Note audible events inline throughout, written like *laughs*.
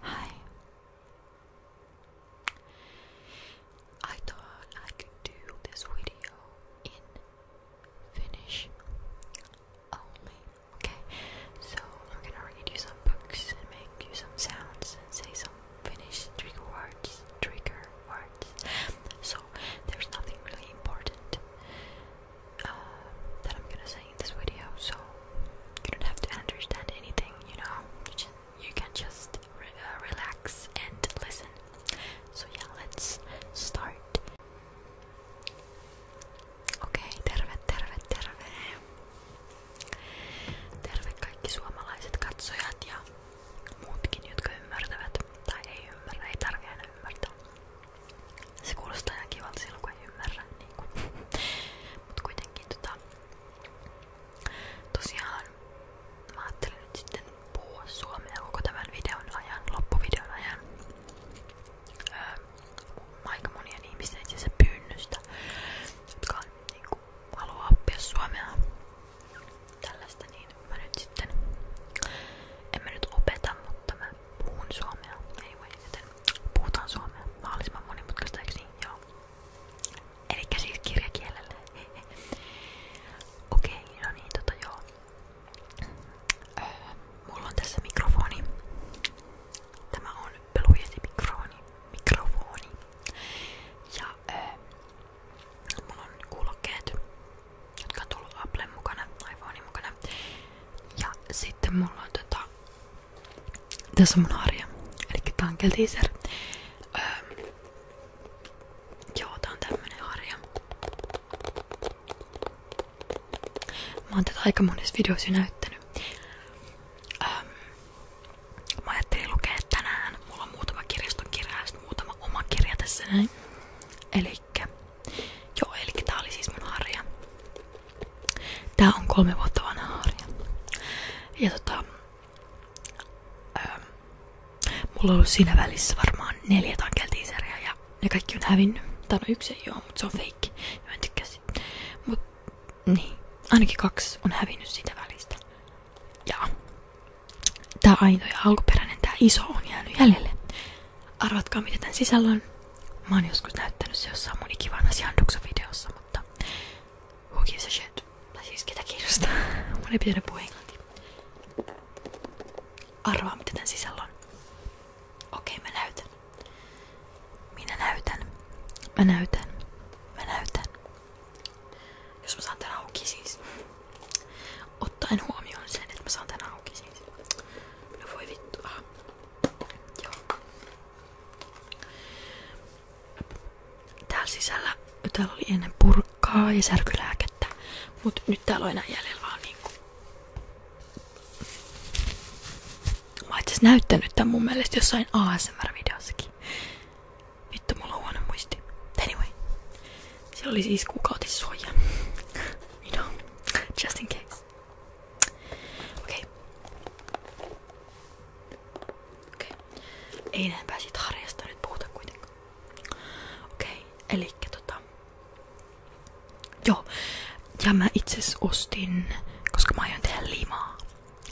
Hi. I thought I could do this video in Finnish only. Okay, so we're gonna read you some books and make you some sounds and say some Finnish trigger words. Trigger words. So there's nothing really important uh, that I'm gonna say in this video, so you don't have to understand anything, you know. You, can just uh, relax and listen. So yeah, let's start. Okei, okay, terve, terve, terve. Terve kaikki suomalaiset katsojat ja muutkin, jotka ymmärtävät. Tai ei ymmärrä, ei tarvitse aina ymmärtää. Se kuulostaa ihan *laughs* Mut kuitenkin. jotenkin tota... Tosiaan mä ajattelin nyt sitten puhua suomea koko tämän videon ajan, loppuvideon ajan. Öö, aika monien ihmisten itse asiassa pyynnystä, jotka on, niin kuin, haluaa oppia suomea. Tällaista niin mä nyt sitten... En mä nyt opeta, mutta mä puhun suomea. Anyway, joten Puhutaan suomea. Mahdollisimman monimutkaista, eikö niin? Joo. Elikkä siis kirjakielellä. Okei, okay, no niin, tota joo. Öö, mulla on tässä mikrofoni. Tämä on pelujesi mikrofoni. mikrofoni. Ja öö, mulla on kuulokkeet, jotka on tullut Applen mukana, iPhonein mukana. Ja sitten mulla on tota tässä on mun arja. Eli Tankel Teaser. Öö, joo, tää on tämmönen arja. Mä oon tätä aika monessa videossa näyttänyt. Öö, tänään. Mulla on muutama kirjaston kirja muutama oma kirja näin. Elikkä, joo, elikkä tää oli siis mun Tää on kolme vuotta vanha harja. Ja tota, ää, ähm, mulla on ollut siinä välissä varmaan neljä tankeltiiseriä ja ne kaikki on hävinnyt. Tää on no yksi ei oo, mutta se on feikki. mä en tykkää siitä. Mut niin, ainakin kaksi on hävinnyt siitä välistä. Ja tää aito ja alkuperäinen, tää iso on jäänyt jäljelle. Arvatkaa mitä tän sisällä on. Mä oon joskus näyttänyt se jossain mun ikivanhas Janduksa-videossa, mutta who gives a shit? Tai siis ketä kiinnostaa? *laughs* Mun ei pitänyt puhua englantia. Arvaa mitä tän sisällä on. Okei, okay, mä näytän. Minä näytän. Mä näytän. Mä näytän. Jos mä saan tän auki siis. Ottaen huomioon sen, että mä saan tän auki siis. No Täällä sisällä täällä oli ennen purkkaa ja särkylääkettä, mutta nyt täällä on enää jäljellä vaan niinku. Mä näyttänyt tämän mun mielestä jossain ASMR-videossakin. Vittu, mulla on huono muisti. Anyway. Siellä oli siis kuukautissuoja. *laughs* you know, just in case. Okei. Okei. Ei enempää siitä harjasta nyt puhuta kuitenkaan. Okei, elikkä tota... Joo. Ja mä itse ostin, koska mä aion tehdä limaa.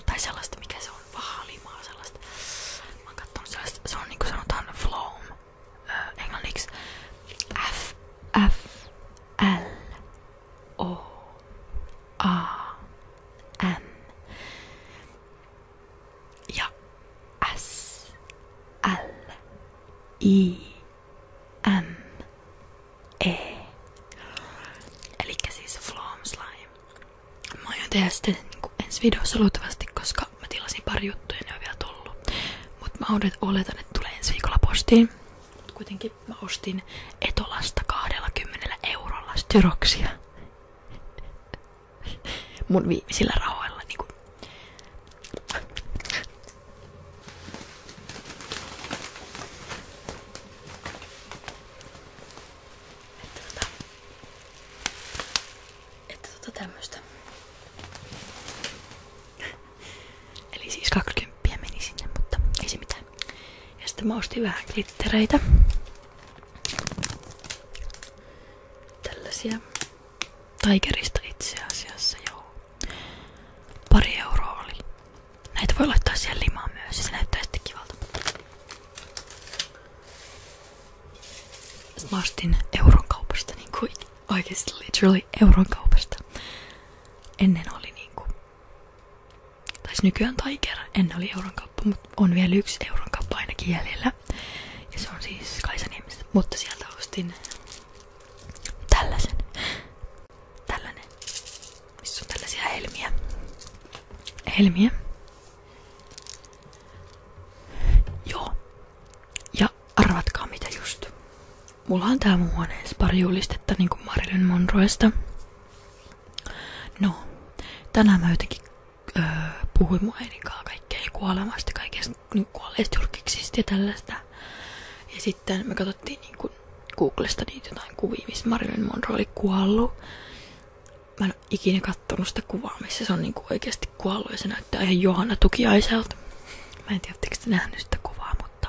Tai sellaista, mikä se on, vahaa limaa sellaista. Mä oon kattonut sellaista, se on niinku sanotaan floam. Öö, englanniksi F, F, L, O-A-N. Ja S-L-I-M-E. Eli siis Flom Slime. Mä jo tehdä sitä niinku ensi videossa luultavasti, koska mä tilasin pari juttuja ja ne on vielä tullut. Mut mä oletan, että tulee ensi viikolla postiin. Mut kuitenkin mä ostin Etolasta 20 eurolla styroksia. Mun viimeisillä rahoilla niinku. Että tota, että tota tämmöstä. Eli siis 20 meni sinne, mutta ei se mitään. Ja sitten mä ostin vähän glittereitä. Tällaisia. Tigerista itse asiassa, joo. Pari euroa oli. Näitä voi laittaa siihen limaan myös, se näyttää sitten kivalta. Mä ostin euron kaupasta, niin kuin oikeasti literally euron kaupasta. Ennen oli niinku taisi nykyään Tiger, ennen oli euron kauppa, mutta on vielä yksi euron kauppa ainakin jäljellä. Ja se on siis Kaisaniemistä, mutta sieltä ostin tällaisen. Tällainen. Missä on tällaisia helmiä. Helmiä. Joo. Ja arvatkaa mitä just. Mulla on tää mun huoneessa pari julistetta niinku Marilyn Monroesta. No, tänään mä jotenkin öö, puhuin mun äidinkaan kaikkea kuolemasta, kaikesta niin kuolleista julkiksista ja tällaista. Ja sitten me katsottiin niinku Googlesta niitä jotain kuvia, missä Marilyn Monroe oli kuollut. Mä en ole ikinä kattonut sitä kuvaa, missä se on niinku oikeasti kuollut ja se näyttää ihan Johanna Tukiaiselta. Mä en tiedä, te nähnyt sitä kuvaa, mutta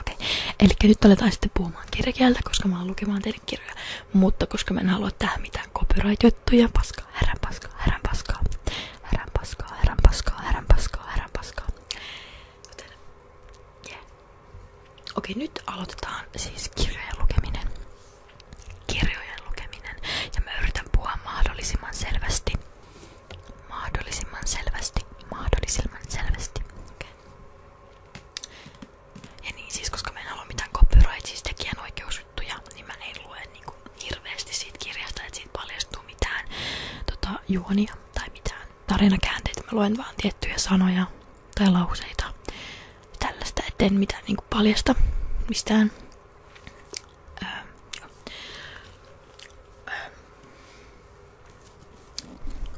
Okei, eli nyt aletaan sitten puhumaan kirjakieltä, koska mä oon lukemaan teille kirjoja, mutta koska mä en halua tähän mitään copyright-juttuja, paskaa, herran paskaa, herran paskaa, härän paskaa, härän paskaa, Okei, nyt aloitetaan siis kirjojen lukeminen. Kirjojen lukeminen. Ja mä yritän puhua mahdollisimman selvästi mahdollisimman selvästi, mahdollisimman selvästi. Okay. Ja niin siis, koska mä en halua mitään copyright, siis tekijänoikeusjuttuja, niin mä en lue niin mitään tota, juonia tai mitään tarinakäänteitä. Mä luen vaan tiettyjä sanoja tai lauseita tällaista, et en mitään niinku paljasta mistään. öö. öö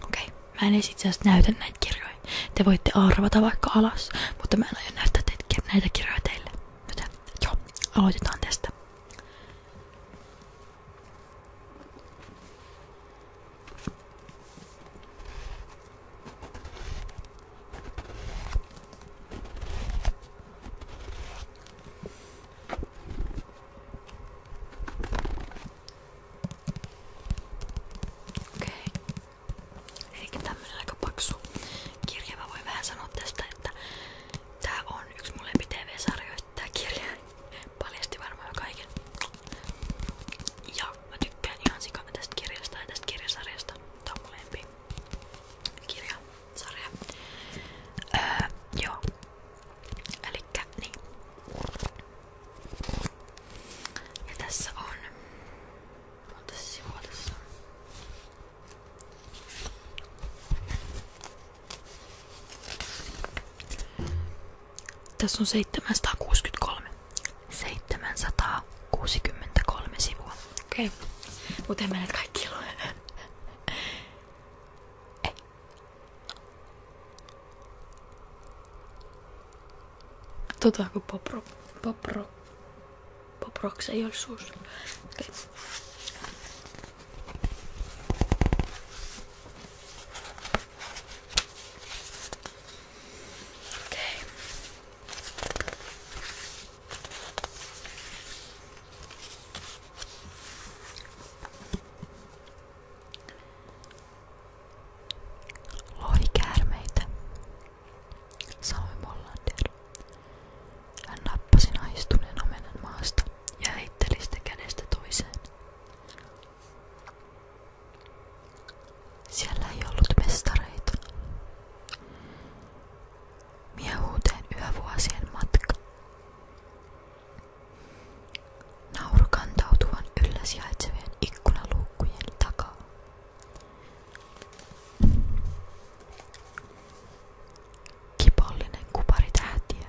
Okei, okay. mä en itse asiassa näytä näitä kirjoja. Te voitte arvata vaikka alas, mutta mä en aio näyttää teitä, näitä kirjoja teille. Joten joo, aloitetaan tästä. Okei. Eli tämmönen aika paksu kirja. Mä voin vähän sanoa tästä, että tää on yksi mun lempi-tv-sarjoista tää kirja. Paljasti varmaan kaiken. Ja mä tykkään ihan sikana tästä kirjasta ja tästä kirjasarjasta. Tää on mun lempi kirjasarja. Öö, joo. Niin. tässä on... tässä on? Tässä on 763. 763 sivua. Okei. Okay. Mutta en mä näitä kaikki lue. Ei. Tota kuin popro, popro, poproks ei ole suus. Okay. Lohikäärmeitä, sanoi Mollander. Hän nappasi naistuneen omenan maasta ja heitteli sitä kädestä toiseen. Siellä ei ollut mestareita. Miehuuteen yövuosien matka. Nauru kantautuvan yllä sijaitsevien ikkunaluukkujen takaa. Kipollinen kupari tähtiä,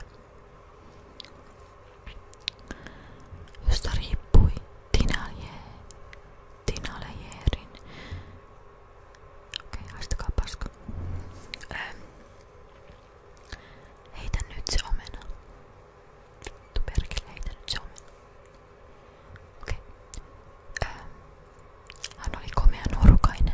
josta riippui Tinalejeerin. Okei, okay, haistakaa paska. Ähm, Heitä nyt se omena. Vittu perkele, heitä nyt se omena. Okei. Okay. Öö, ähm. Hän oli komea nuorukainen.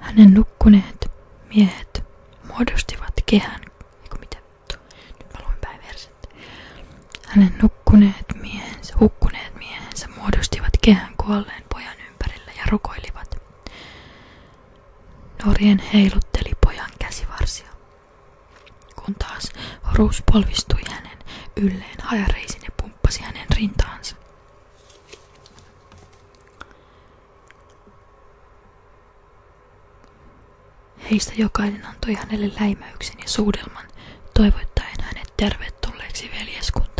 Hänen nukkuneet miehet muodostivat kehän. Eiku mitä? Nyt mä luin päin verset. Hänen nukkuneet miehensä, hukkuneet miehensä muodostivat kehän kuolleen pojan ympärillä ja rukoilivat. Norien heilutteli pojan käsivarsia, kun taas polvistui hänen ylleen hajareisin ja pumppasi hänen rintaansa. Heistä jokainen antoi hänelle läimäyksen ja suudelman, toivottaen hänet tervetulleeksi veljeskuntaan.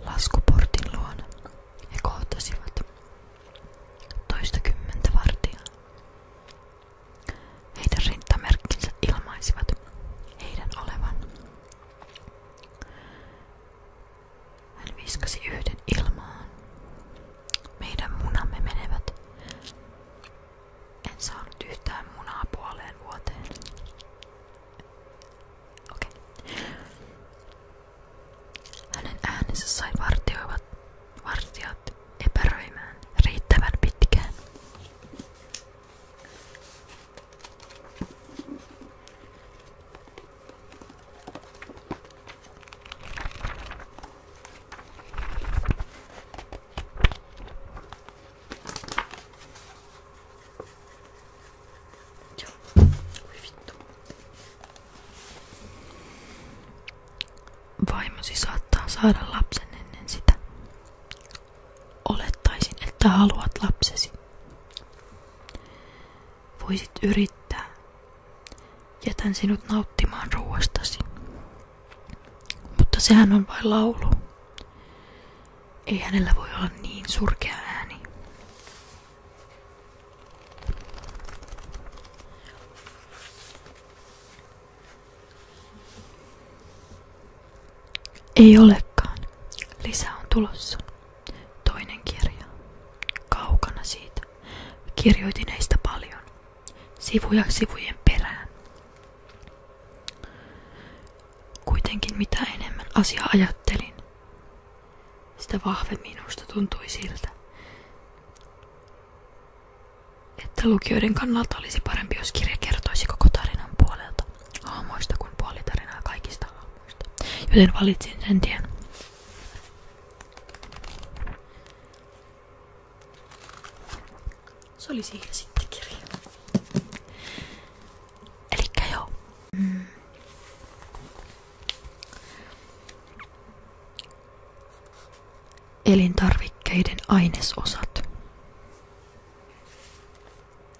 Laskuportin luona he kohtasivat toistakymmentä vartijaa. Heidän rintamerkkinsä ilmaisivat heidän olevan hän viskasi yhden ilmaan. Meidän munamme menevät. En saanut yhtään munaa puoleen vuoteen. Okei. Okay. Hänen äänensä sai vartioivat vartijat epäröimään riittävän pitkään. Vaimosi siis saattaa saada lapsen ennen sitä. Olettaisin, että haluat lapsesi. Voisit yrittää. Jätän sinut nauttimaan ruoastasi. Mutta sehän on vain laulu. Ei hänellä voi olla niin surkea ääni. Ei olekaan. Lisää on tulossa. Toinen kirja. Kaukana siitä. Kirjoitin heistä paljon. Sivuja sivujen perään. Kuitenkin mitä enemmän asia ajattelin, sitä vahvemmin minusta tuntui siltä, että lukijoiden kannalta olisi parempi, jos kirja kertoisi koko tarinan puolelta, aamoista kuin puolitarinaa kaikista muista. Joten valitsin sen tien. Se oli siinä sitten kirja. Elikkä joo. Mm. Elintarvikkeiden ainesosat.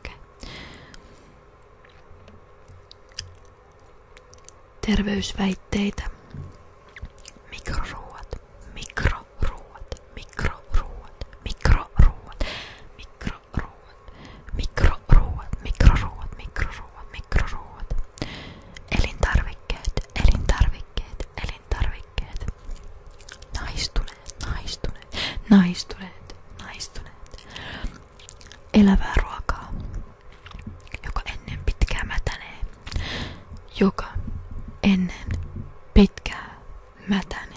Okay. Terveysväitteitä. Mikroruuat, mikroruuat, mikroruuat, mikroruuat, mikroruuat, mikroruuat, mikroruuat, mikroruuat, mikroruuat. Elintarvikkeet, elintarvikkeet tarvikkeet, elintarvikkeet, naistuneet, naistuneet, naistuneet, naistuneet, elävää ruokaa, joka ennen pitkää mätänee, joka ennen pitkää mätänee.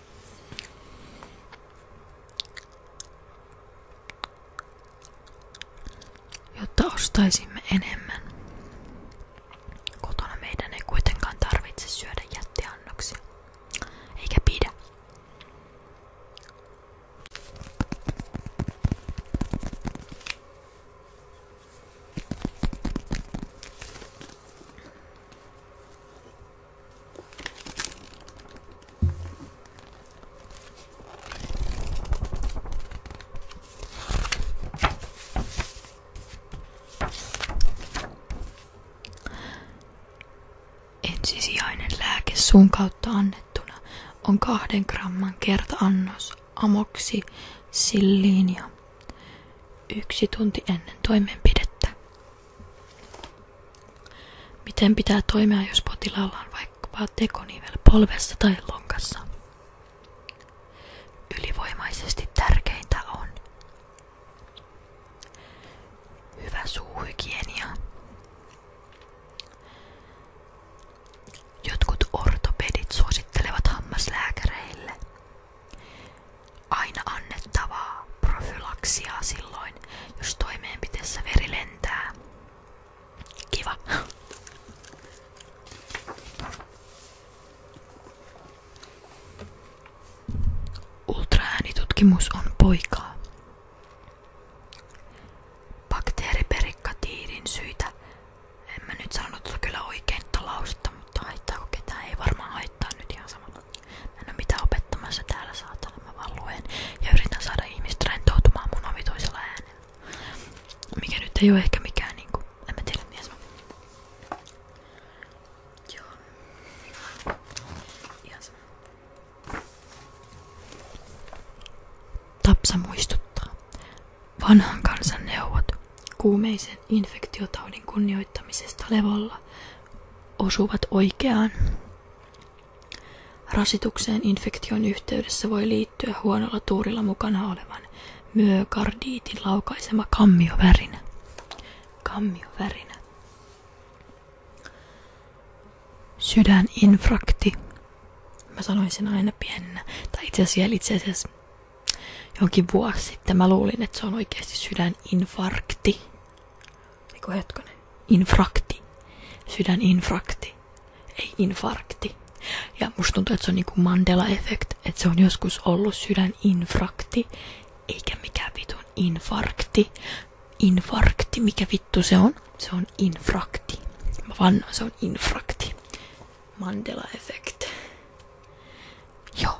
jotta ostaisimme enemmän. Kotona meidän ei kuitenkaan tarvitse syödä jättiannoksia, eikä pidä. Ensisijainen lääke suun kautta annettuna on kahden gramman kertaannos amoksi silliinia yksi tunti ennen toimenpidettä. Miten pitää toimia, jos potilaalla on vaikkapa tekonivel polvessa tai lonkassa? Ylivoimaisesti tärkeintä on hyvä suuhygienia. Jotkut ortopedit suosittelevat hammaslääkäreille Aina annettavaa profylaksia silloin, jos toimeenpiteessä veri lentää. Kiva. Ultraäänitutkimus on poikaa. Bakteeriperikatiidin syitä. En mä nyt sanonut kyllä oikein lausetta, mutta haittaako ketään? Ei varmaan haittaa nyt ihan sama. Mä en oo mitään opettamassa täällä saatana, mä vaan luen ja yritän saada ihmiset rentoutumaan mun omituisella Mikä nyt ei ole, ehkä mikään niinku, en mä tiedä mies. Joo. Ihan sama. Tapsa muistuttaa. Vanhan kansan neuvot. Kuumeisen infektiotaudin kunnioittamisesta levolla osuvat oikeaan. Rasitukseen infektion yhteydessä voi liittyä huonolla tuurilla mukana olevan myokardiitin laukaisema kammiovärinä. Kammiovärinä. Sydäninfrakti. Mä sanoin sen aina pienenä. Tai itse asiassa, itse asiassa jonkin vuosi sitten mä luulin, että se on oikeasti sydäninfarkti. Eiku niin hetkonen. Infrakti. Sydäninfrakti. Ei infarkti. Ja musta tuntuu, että se on niinku Mandela-effekt, että se on joskus ollut sydäninfrakti, eikä mikään vitun infarkti. Infarkti, mikä vittu se on? Se on infrakti. Mä vannoin, se on infrakti. Mandela-effekt. Joo.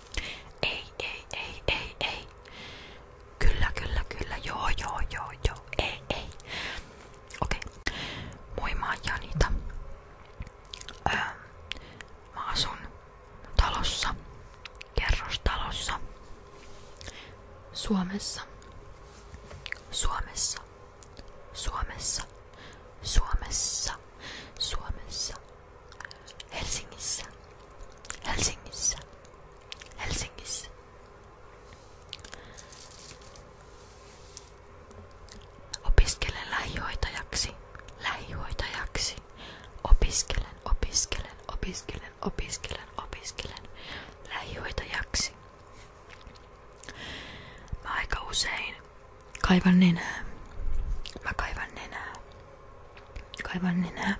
Kyllä, kyllä, kyllä. Joo, joo, joo, joo. Okei. Okay. Moi, mä oon Janita. Öö, talossa, Suomessa, Suomessa, Suomessa, Suomessa, Suomessa, Helsingissä, Helsingissä, Helsingissä. Opiskelen lähihoitajaksi, lähihoitajaksi. Opiskelen, opiskelen, opiskelen, opiskelen, opiskelen lähihoitajaksi. Mä aika usein Kaivan nenää. Mä kaivan nenää. Kaivan nenää.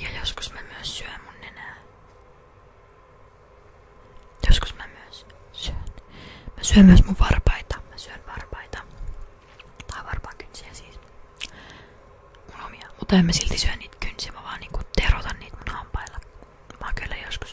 Ja joskus mä myös syön mun nenää. Joskus mä myös syön. Mä syön myös mun varpaita. Mä varpaita. Tai varpaakynsiä siis. Mun omia. Mutta mä silti syön niitä kynsiä. Mä vaan niinku terotan niitä mun hampailla. Mä kyllä joskus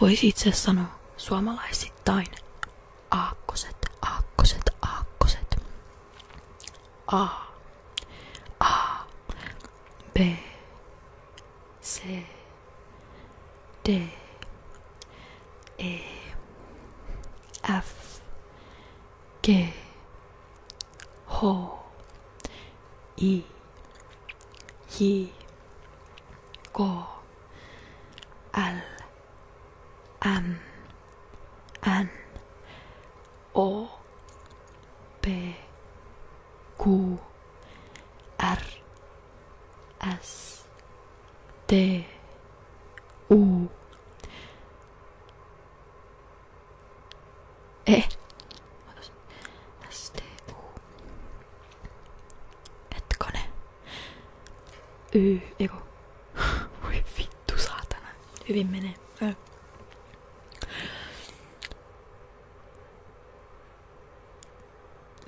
Voisi itse sanoa suomalaisittain aakkoset, aakkoset, aakkoset. A. A. B. C. D. E. F. G. H. I. y go al am an o p q r s t u え私 eh. STO hetkone y eiku *laughs* voi vittu saatana hyvin menee Ö.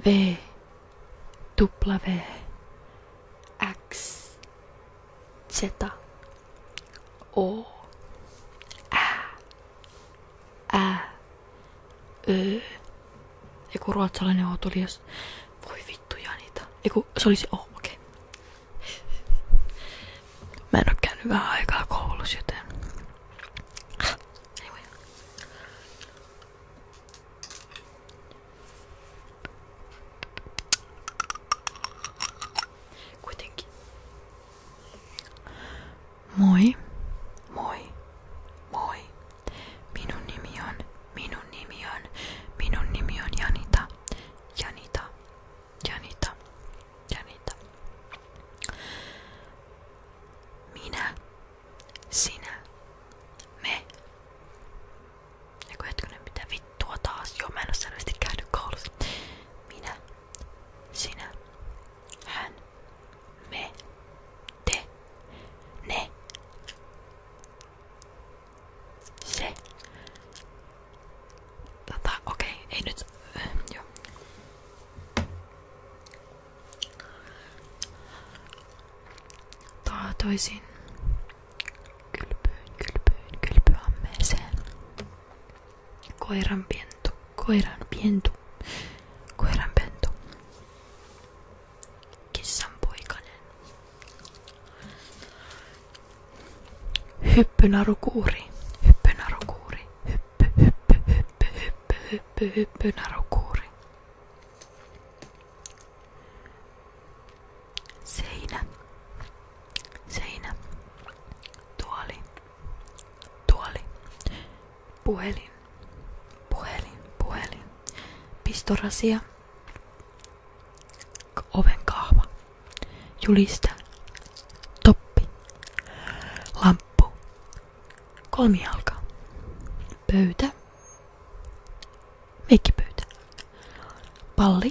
V tupla v, X Z O Ä Ä öö, joku ruotsalainen otulias. Voi vittu niitä. Eiku, se olisi, oh, okei. Okay. Mä en oo käynyt vähän aikaa koulussa, joten... Kuitenkin. Moi, moi, moi. Minun nimi on, minun nimi on, minun nimi on Janita, Janita, Janita, Janita. Minä, sinä, me. Eiku hetkinen, mitä taas? Joo, mä en oo sinä, hän, me, te, ne, se. Tota, okei, okay, ei nyt, äh, joo. Taatoisin kylpyyn, Koiran pentu. Koiran pentu. Koiran pentu. Kissan poikanen. Hyppynarukuuri. Hyppynarukuuri. Hyppy, hyppy, hyppy, hyppy, hyppy, hyppynarukuuri. Seinä. Seinä. Tuoli. Tuoli. Puhelin. Puhelin. Puhelin. Pistorasia. Oven kahva. Juliste. Toppi. Lamppu. Kolmijalka. Pöytä. Meikkipöytä. Palli.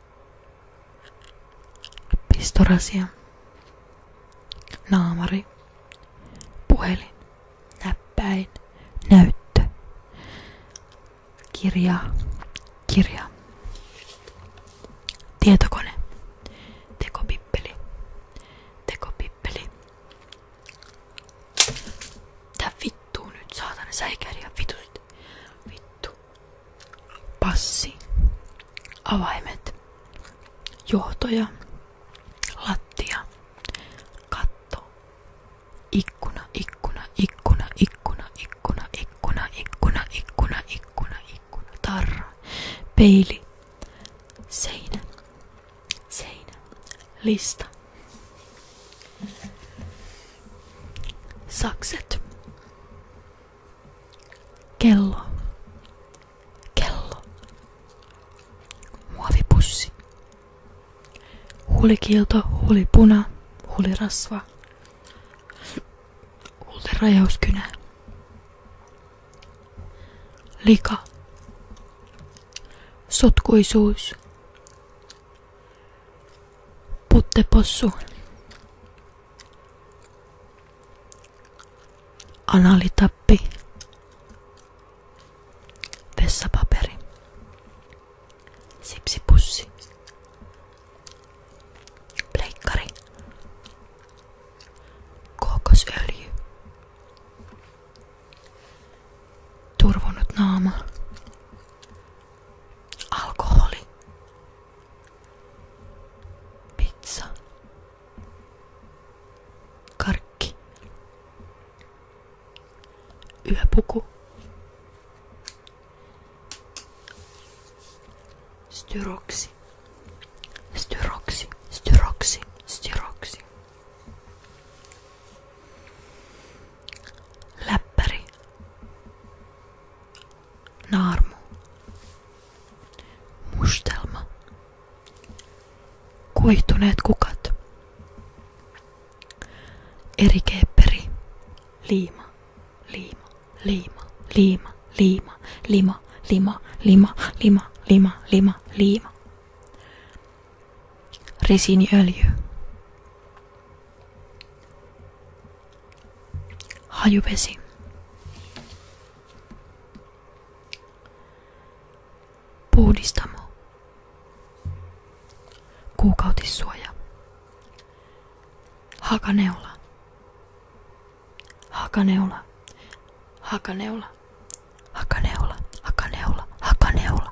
Pistorasia. Naamari. Puhelin. Näppäin. Näyttö. Kirja. Kirja. Tietokone. Tekopippeli. Tekopippeli. Tää vittuu nyt, saatana säikäri ja vitut. Vittu juttu. Passi. Avaimet. Johtoja. Lattia. Katto. Ikkuna, ikkuna, ikkuna, ikkuna, ikkuna, ikkuna, ikkuna, ikkuna, ikkuna, ikkuna. Tarra. Peili. Seinä. Seinä. Lista. Sakset. Kello. Kello. Muovipussi. Huulikilto, huulipuna, huulirasva. Huulirajauskynä. Lika. Sotkuisuus. Puttepossu. Analitappi. Vessapaperi. Sipsipussi. Pleikkari. Kookosöljy. Turvonut naama. Alkoholi. Pizza. Karkki. Yöpuku. Styroksi. Styroksi. Styroksi. Styroksi. Läppäri naarmu, mustelma, kuihtuneet kukat, erikeepperi, liima, liima, liima, liima, liima, lima, lima, lima, lima, lima, lima, lima, resiniöljy, Hajuvesi. Puhdistamo. Kuukautissuoja. Hakaneula. Hakaneula. Hakaneula. Hakaneula. Hakaneula. Hakaneula.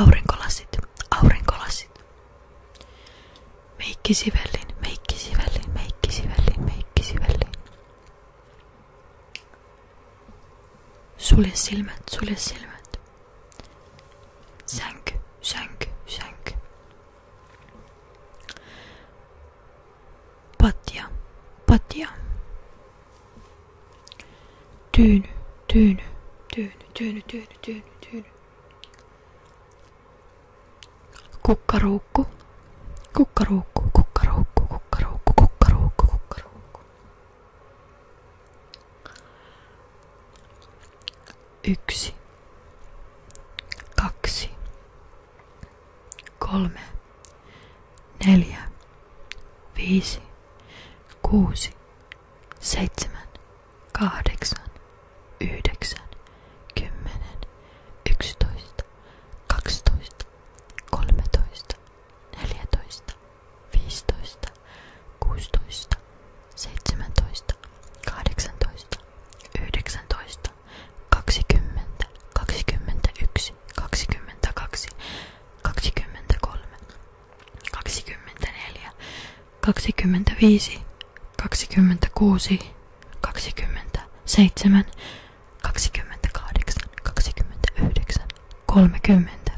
Aurinkolasit, aurinkolasit. meikki meikkisivellin, meikki meikkisivellin. Sulje silmät, sulje silmät. Sänky, sänky, sänky. Patja, patja. Tyyny, tyyny, tyyny, tyyny, tyyny, tyyny, tyyny. Kukkaruukku, kukkaruukku, kukkaruukku, kukkaruukku, kukkaruukku, kukkaruukku. Yksi, kaksi, kolme, neljä, viisi, kuusi, seitsemän, kahdeksan, yhdeksän, kymmenen, yksitoista, kaksitoista, kolmetoista, neljätoista, viisitoista, kuusitoista, seitsemäntoista, kahdeksantoista, yhdeksäntoista, kaksikymmentä, kaksikymmentäyksi, kaksikymmentäkaksi, kaksikymmentäkolme, kaksikymmentäneljä, kaksikymmentäviisi, kaksikymmentäkuusi, kaksikymmentäseitsemän, kaksikymmentäkahdeksan, kaksikymmentäyhdeksän, kolmekymmentä,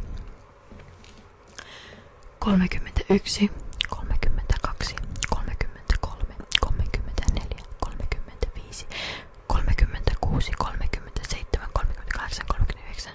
kolmekymmentäyksi, kolmekymmentäkaksi, kolmekymmentäkolme, kolmekymmentäneljä, kolmekymmentäviisi, kolmekymmentäkuusi, kolmekymmentäseitsemän, kolmekymmentäkahdeksan, kolmekymmentäyhdeksän,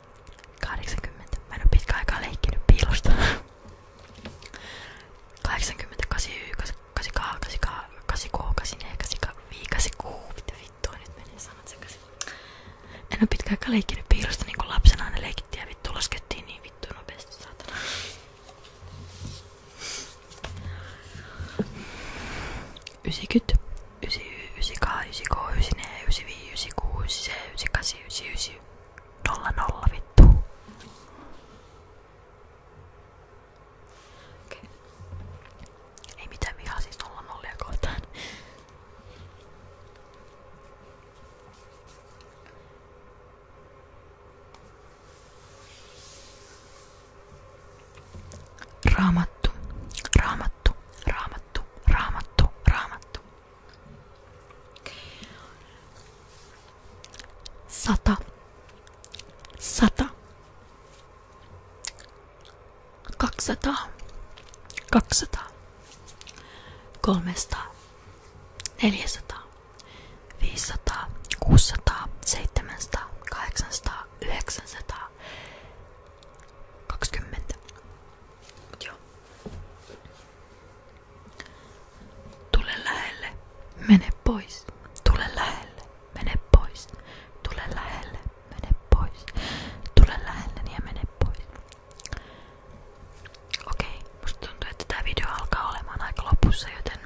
80. Mä en oo pitkään aikaa leikkinyt piilosta. 80, 89, 88, 89, 84, 85, 86. Mitä vittua nyt menee sanat sekaisin. En oo pitkään aikaa leikkinyt piilosta niinku lapsena aina leikittiin ja vittu laskettiin niin vittu nopeasti saatana. Ysikyt, ysi ysi ka ysi ko ysi ne ysi vii ysi ku ysi se ysi kasi ysi ysi nolla nolla vittu. Ei mitään vihaa siis nolla nollia kohtaan. Raamattu, raamattu, raamattu raamattu, raamattu, raamattu. Sata, sata, kaksisataa, kaksisataa, kolmesataa, neljäsataa, viisisataa, kuusisataa, seitsemänsataa, kahdeksansataa, yhdeksänsataa, kaksikymmentä, Mut joo. Tule pois. Tule lähelle, mene pois. Tule lähelle, mene pois. Tule lähelle niin ja pois. Okei, musta tuntuu, että video alkaa olemaan aika joten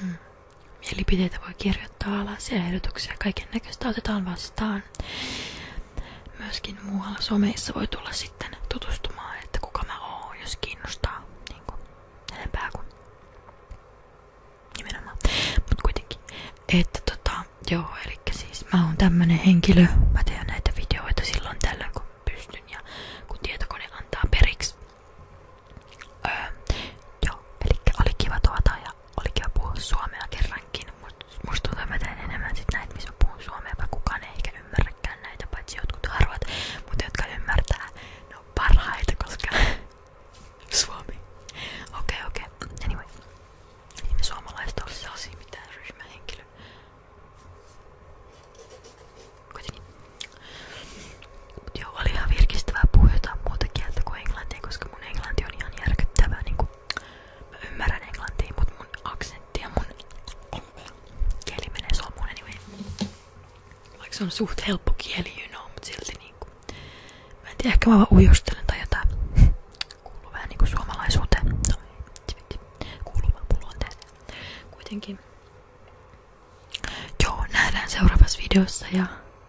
hmm. mielipiteitä voi kirjoittaa alas ja ehdotuksia. Kaiken näköistä otetaan vastaan vaan myöskin muualla someissa voi tulla sitten tutustumaan, että kuka mä oon, jos kiinnostaa niin kuin, enempää kuin nimenomaan. Mut kuitenkin, että tota, joo, eli siis mä oon tämmönen henkilö, mä teen näitä videoita silloin tällä kun pystyn ja kun tietokone antaa periksi. Öö, joo, eli oli kiva tuota ja oli kiva puhua suomea kerrankin, mutta musta tuntuu, mä teen enemmän sit näitä, missä mä puhun suomea, vaikka kukaan ei ehkä ymmärräkään näitä, paitsi jotkut harvat, mutta jotka ymmärtää, ne on parhaita, koska *laughs* suomi. Okei, okay, okei. Okay. Anyway. Ei niin me suomalaiset ole sellaisia mitään ryhmähenkilö. Kuitenkin. Mut joo, oli ihan virkistävää puhua jotain muuta kieltä kuin englantia, koska mun englanti on ihan järkyttävää niinku Mä ymmärrän englantia, mut mun aksentti ja mun kieli menee suomuun anyway. Vaikka se on suht helppo kieli, you know, mut silti niinku. Mä en tiedä, ehkä mä vaan ujostelen tai jotain. Kuuluu vähän niinku suomalaisuuteen. No, kuuluu vaan mun luonteeseen. Kuitenkin. Joo, nähdään seuraavassa videossa ja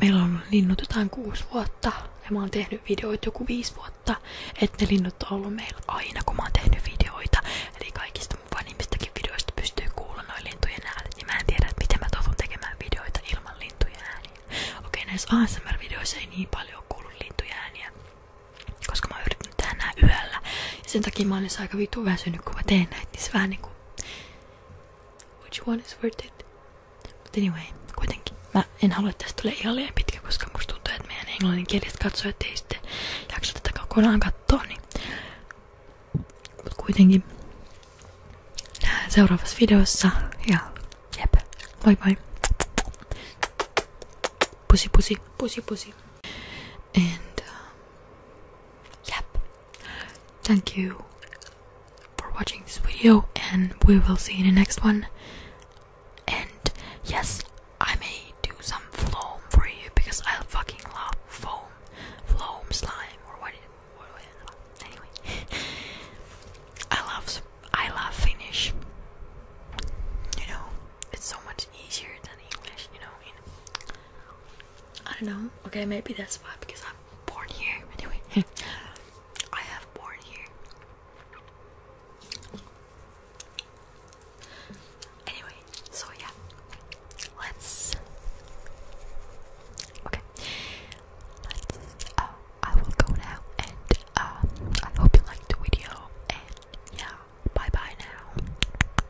meillä on linnut jotain kuusi vuotta ja mä oon tehnyt videoita joku viisi vuotta, että ne linnut on ollut meillä aina kun mä oon tehnyt videoita. Eli kaikista mun vanhimmistakin videoista pystyy kuulla noin lintujen äänet ja mä en tiedä, että miten mä toivon tekemään videoita ilman lintujen ääniä. Okei, näissä ASMR-videoissa ei niin paljon kuulu lintujen ääniä, koska mä oon yrittänyt tehdä nää yöllä. Ja sen takia mä olin aika vitu väsynyt, kun mä teen näitä, niin se vähän niinku Which one is worth it? But anyway, kuitenkin. Mä en halua, että tästä tulee ihan liian pitkä, koska musta tuntuu, että meidän englanninkieliset katsojat ei sitten jaksa tätä kokonaan katsoa, niin... Mut kuitenkin. Nähdään seuraavassa videossa ja jep, moi moi. Pussy, pussy, pussy, pussy. And um, uh, yep, Thank you for watching this video, and we will see you in the next one. And yes, I may do some foam for you because I fucking love foam, foam slime, or what? what, what anyway, *laughs* I love I love Finnish. You know, it's so much easier than English. You know, I don't know. Okay, maybe that's why because I'm born here. Anyway, *laughs* I have born here. Anyway, so yeah, let's. Okay, let's. Uh, I will go now, and um, I hope you liked the video. And yeah, bye bye now.